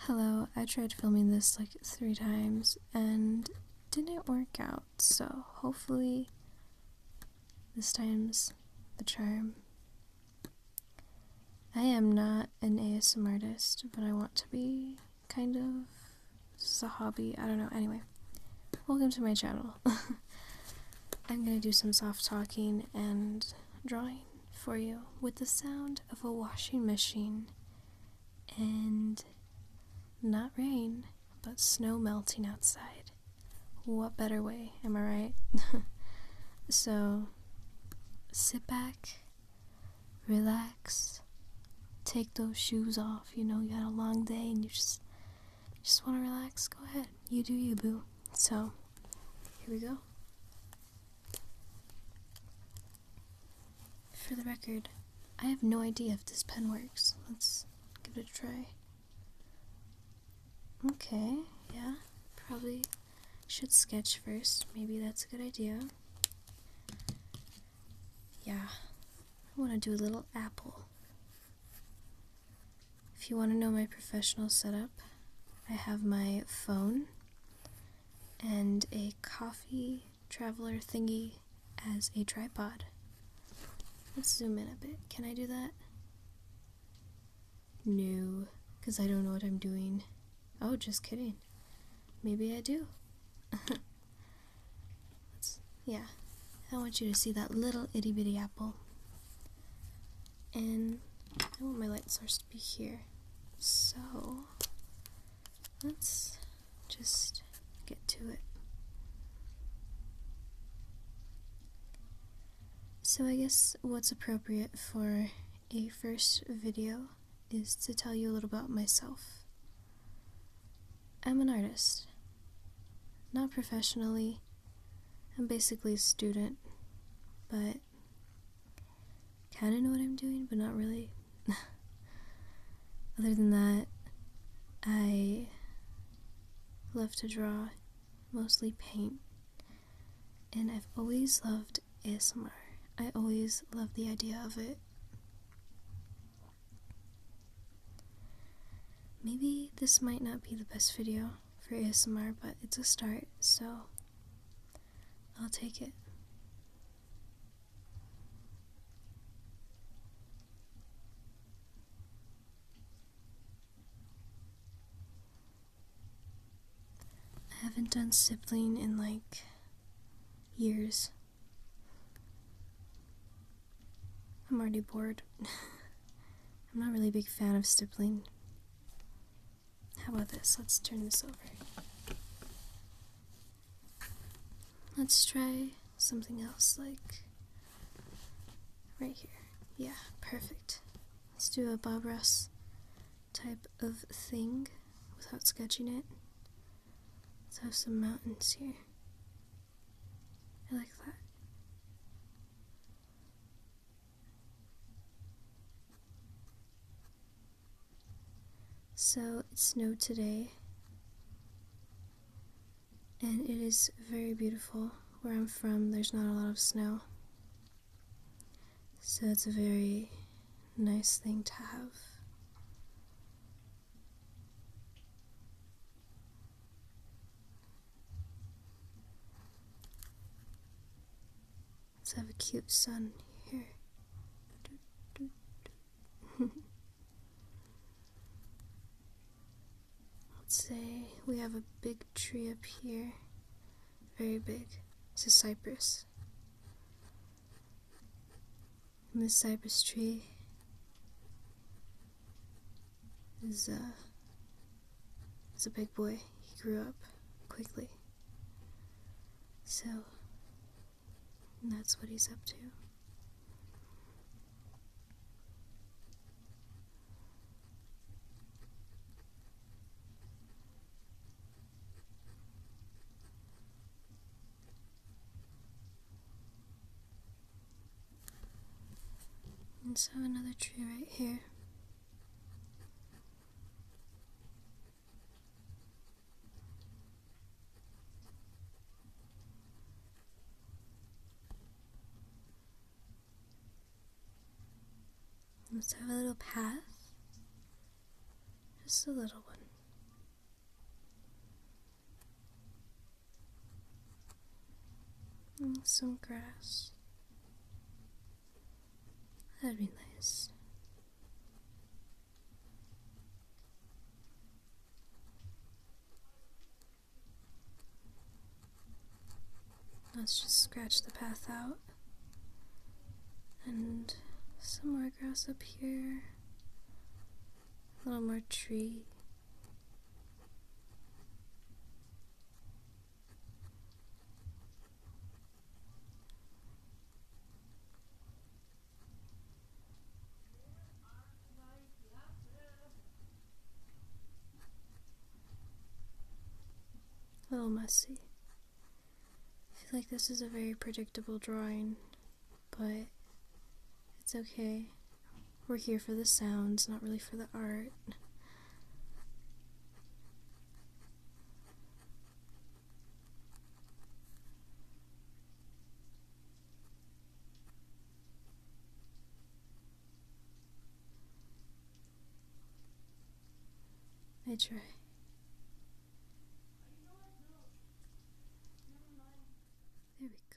Hello, I tried filming this like three times and didn't work out, so hopefully this time's the charm. I am not an ASM artist, but I want to be, kind of. This is a hobby, I don't know. Anyway, welcome to my channel. I'm gonna do some soft talking and drawing for you with the sound of a washing machine and not rain, but snow melting outside. What better way, am I right? so sit back, relax, take those shoes off. You know, you had a long day and you just just want to relax. Go ahead. You do you, boo. So here we go. For the record, I have no idea if this pen works. Let's give it a try. Okay, yeah. Probably should sketch first. Maybe that's a good idea. Yeah. I want to do a little apple. If you want to know my professional setup, I have my phone and a coffee traveler thingy as a tripod. Let's zoom in a bit. Can I do that? New, because I don't know what I'm doing. Oh, just kidding. Maybe I do. yeah, I want you to see that little itty bitty apple and I want my light source to be here. So let's just get to it. So I guess what's appropriate for a first video is to tell you a little about myself. I'm an artist. Not professionally. I'm basically a student, but kind of know what I'm doing, but not really. Other than that, I love to draw, mostly paint, and I've always loved ASMR. I always loved the idea of it. Maybe this might not be the best video, for ASMR, but it's a start, so I'll take it. I haven't done sibling in like years. I'm already bored. I'm not really a big fan of sibling. How about this? Let's turn this over. Let's try something else, like right here. Yeah, perfect. Let's do a Bob Ross type of thing without sketching it. Let's have some mountains here. I like that. So it snowed today, and it is very beautiful. Where I'm from, there's not a lot of snow, so it's a very nice thing to have. Let's have a cute sun here. Let's say we have a big tree up here. Very big. It's a cypress. And this cypress tree as, uh, as a big boy, he grew up quickly. So, that's what he's up to. Let's have another tree right here. Let's have a little path. Just a little one. Oh, some grass. That'd be nice. Let's just scratch the path out. And some more grass up here. A little more tree. A oh, little messy. I feel like this is a very predictable drawing, but it's okay. We're here for the sounds, not really for the art. I try. There we go.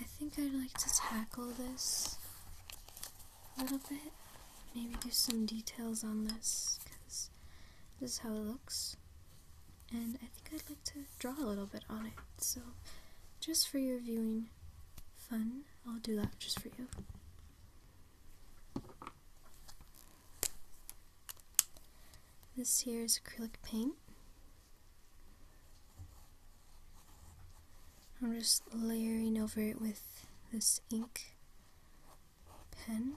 I think I'd like to tackle this a little bit. Maybe do some details on this because this is how it looks. And I think I'd like to draw a little bit on it. So, just for your viewing fun, I'll do that just for you. This here is acrylic paint. I'm just layering over it with this ink pen.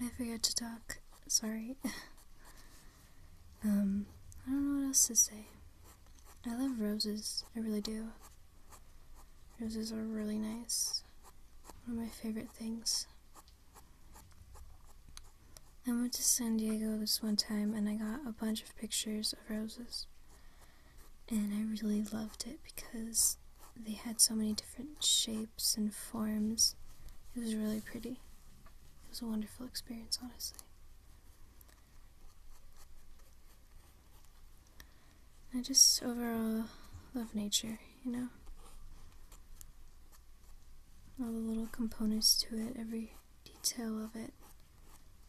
I forgot to talk. Sorry. um, I don't know what else to say. I love roses. I really do. Roses are really nice. One of my favorite things. I went to San Diego this one time and I got a bunch of pictures of roses. And I really loved it because they had so many different shapes and forms. It was really pretty. It was a wonderful experience, honestly. I just overall love nature, you know? All the little components to it, every detail of it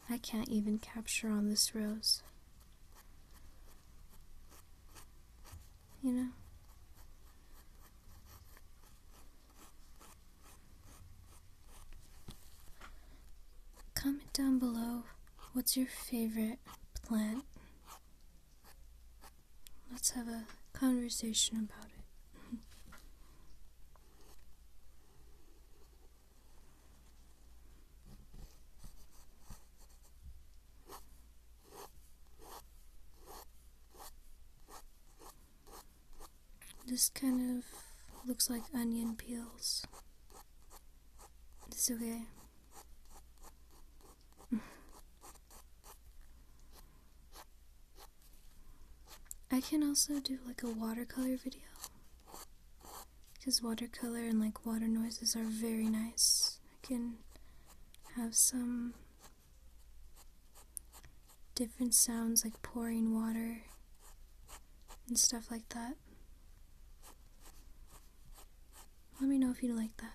I can't even capture on this rose. You know? Comment down below what's your favorite plant. Let's have a conversation about it. This kind of looks like onion peels. It's okay. I can also do like a watercolor video because watercolor and like water noises are very nice. I can have some different sounds like pouring water and stuff like that. Let me know if you like that.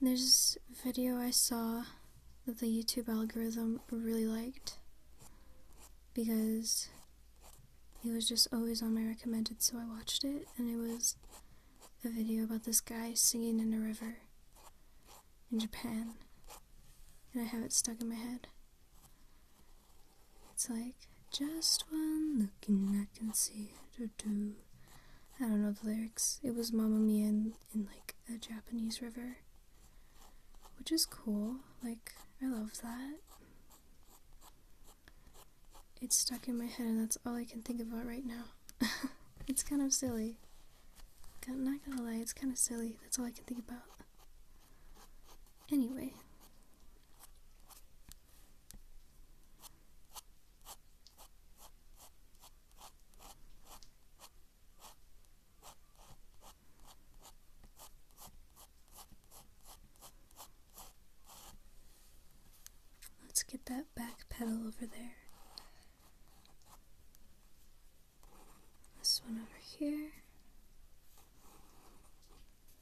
There's this video I saw that the YouTube algorithm really liked because it was just always on my recommended, so I watched it, and it was a video about this guy singing in a river in Japan, and I have it stuck in my head. It's like just one looking, I can see or do. I don't know the lyrics. It was Mama Mia in, like a Japanese river, which is cool. Like I love that. It's stuck in my head, and that's all I can think about right now. it's kind of silly. not gonna lie, it's kind of silly. That's all I can think about. Anyway, Let's get that back pedal over there. This one over here.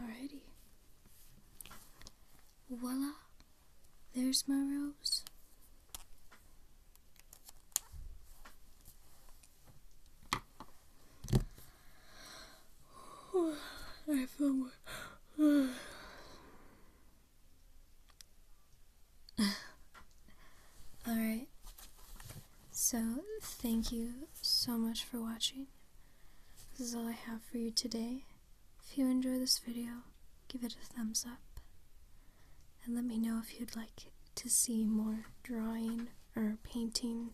Alrighty. Voila! There's my rose. I feel more. Alright, so thank you so much for watching. This is all I have for you today. If you enjoy this video, give it a thumbs up. And let me know if you'd like to see more drawing or painting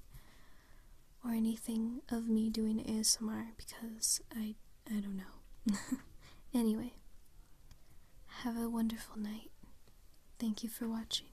or anything of me doing ASMR because I I don't know. anyway, have a wonderful night. Thank you for watching.